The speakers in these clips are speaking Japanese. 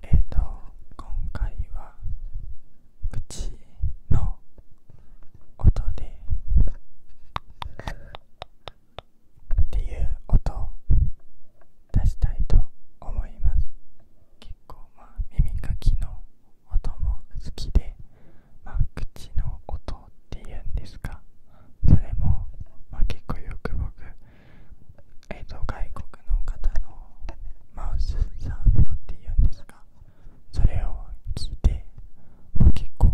えっ、と今回は口の音でっていう音を出したいと思います結構まあ耳かきの音も好きでまあ口の音っていうんですかそれもまあ結構よく僕えっ、と外国の方のマウスサウンドっていうんですかそれを聞いてもう結構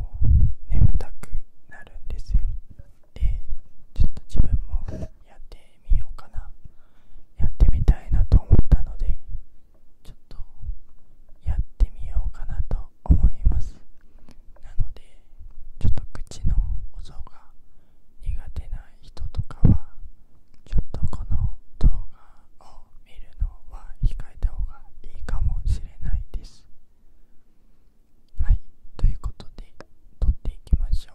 眠たくなるんですよでちょっと自分もやってみようかなやってみたいなと思ったのでちょっとやってみようかなと思いますなのでちょっと口の音が苦手な人とかはちょっとこの動画を見るのは控えた方がいいかもしれないですはいということで撮っていきましょう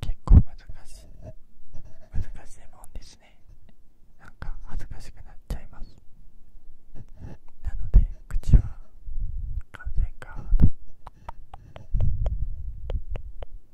結構難しい難しいもんですねなんか恥ずかしくなっちゃいますなので口は完全か。ード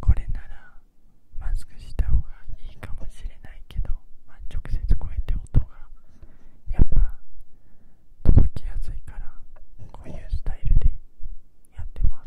これならマスクした方がいいかもしれないけど、直接こうやって音がやっぱ届きやすいからこういうスタイルでやってます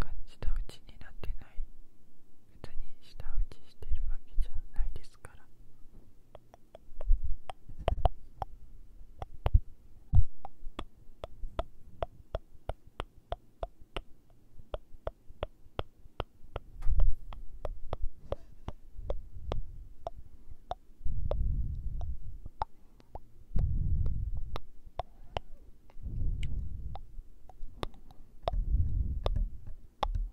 感じたうちになってない別に舌打ちしてるわけじゃないですから。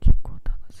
結構楽しい。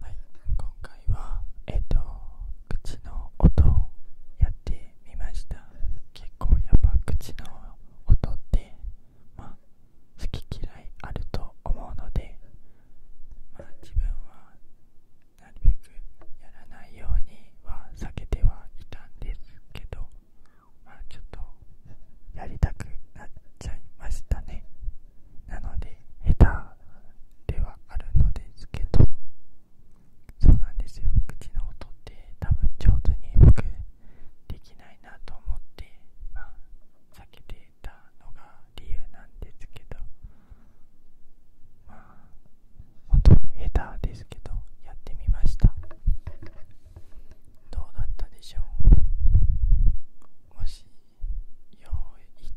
はい今回はえっ、と口の音をやってみました結構やっぱ口の音ってまあ好き嫌いあると思うのでまあ自分はなるべくやらないようには避けてはいたんですけどまあちょっとやりたくなっちゃいましたねなので下手ではあるのですけどそうなんですよ口の音って多分上手に僕できないなと思ってまあ避けていたのが理由なんですけどまあ本当下手ですけどやってみましたどうだったでしょうもし良い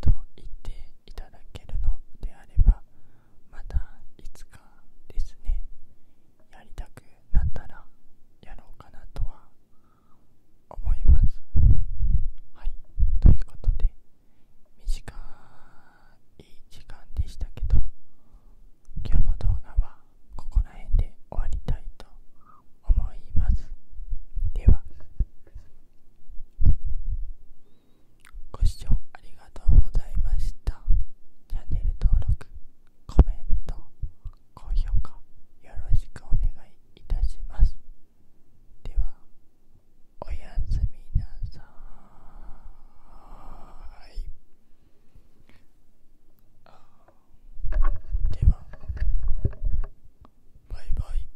と言っていただけるのであればまたいつかですねやりたくなったらやろうかなとは思いますはいということで短い時間でしたけど今日の動画はここら辺で終わりたいと思いますではご視聴ありがとうございましたチャンネル登録コメント高評価よろしくお願いいたしますではおやすみなさいではバイバイ